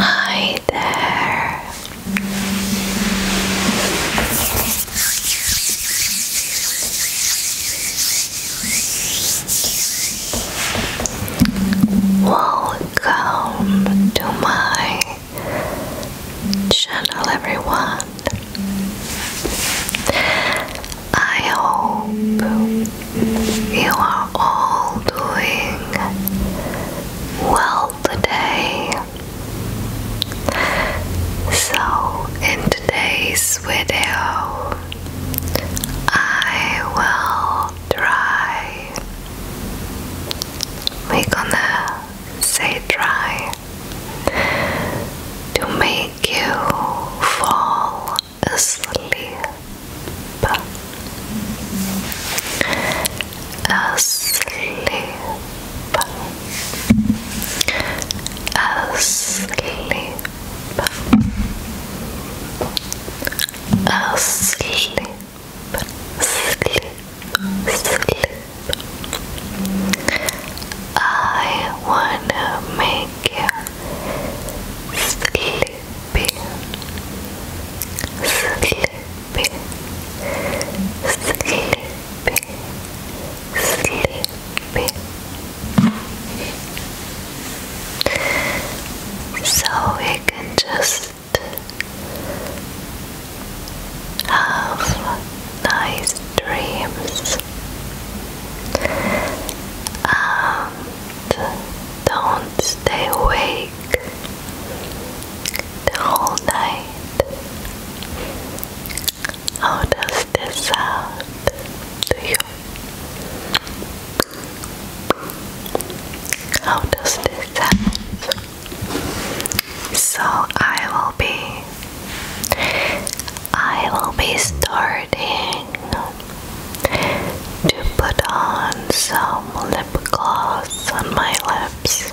Hi there. Welcome to my channel, everyone. I hope you are all doing well today. So, in today's video, I will try. we gonna say try to make you fall asleep asleep asleep asleep sleep sleep I wanna make you sleep sleepy, sleepy, sleepy. So we can just have nice dreams. Um, don't stay awake the whole night. How does this sound to you? How does this sound? So I will be I will be starting to put on some lip gloss on my lips.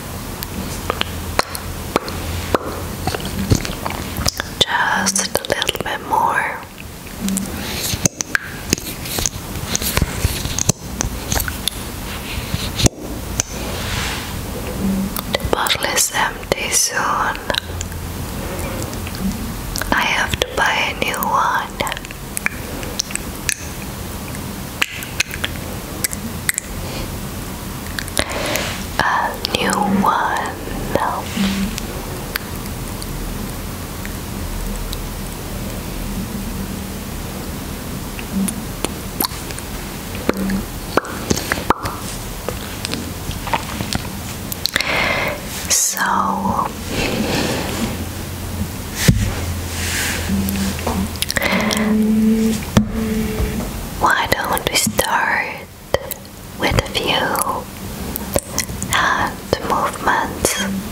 Just a little bit more. bottle is empty soon. I have to buy a new one a new one. So why don't we start with a few hand movements?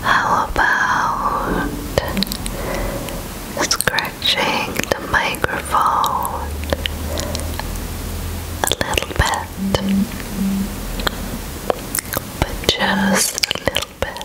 how about scratching the microphone a little bit, but just a little bit?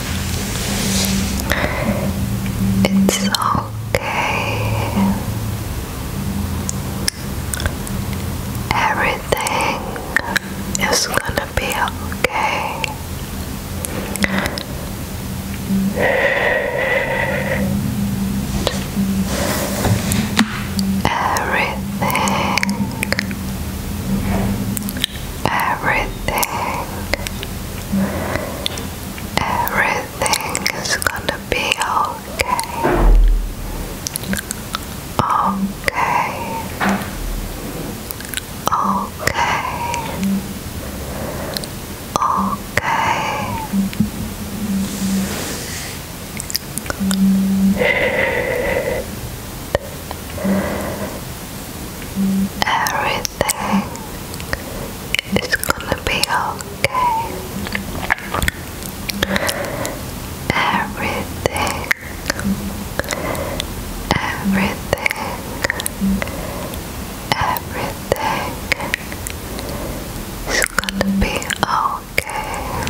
It's okay. Everything is gonna be okay. Everything everything, everything is gonna be okay. Okay, okay, okay. Everything is gonna be okay. Everything, everything, everything is gonna be okay.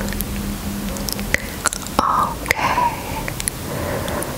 Okay.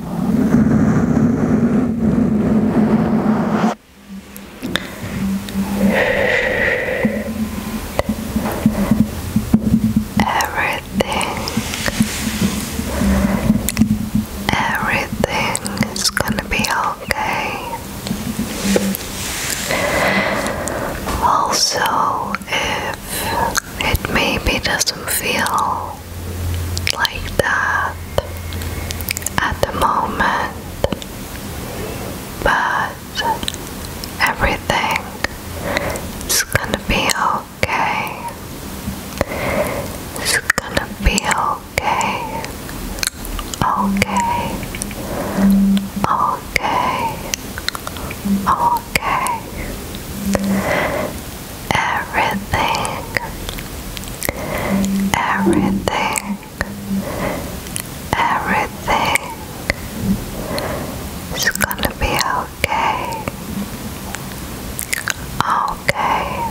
Everything, everything gonna be okay. Also, if it maybe doesn't feel like that at the moment, but everything is gonna be okay. It's gonna be okay. Okay. Okay. Okay everything, everything, everything is gonna be okay, okay,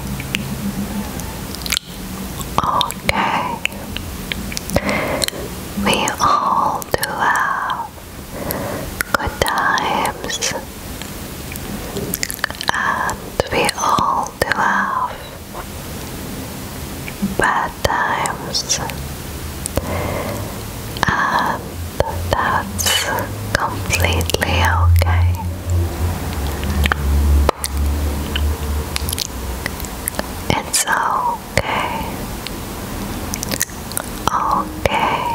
okay. We all do have good times and we all do have bad times, and that's completely okay. It's okay, okay,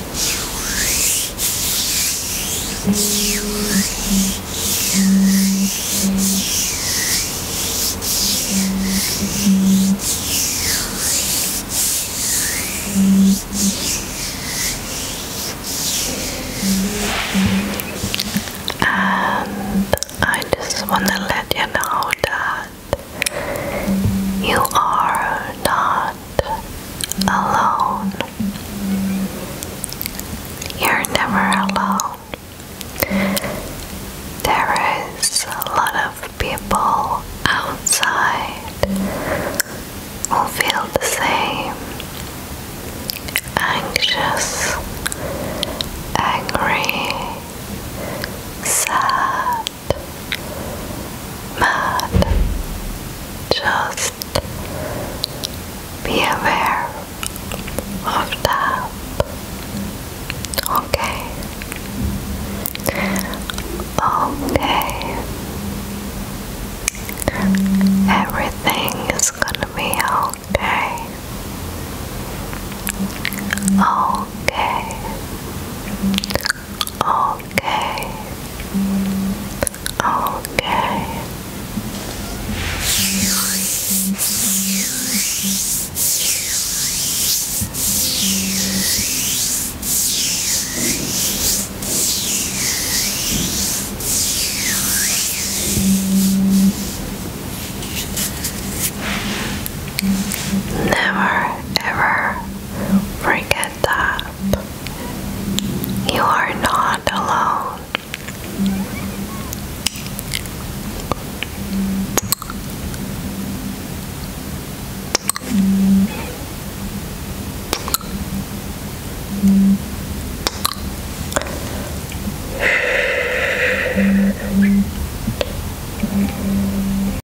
And I just want to let you know that you are not alone. You're never alone. There is a lot of people outside who feel the same anxious, angry, sad, mad. Just be aware of that. Okay. Okay. Everything is gonna be okay. Okay. Okay. Okay. Never ever Forget that. You are not alone.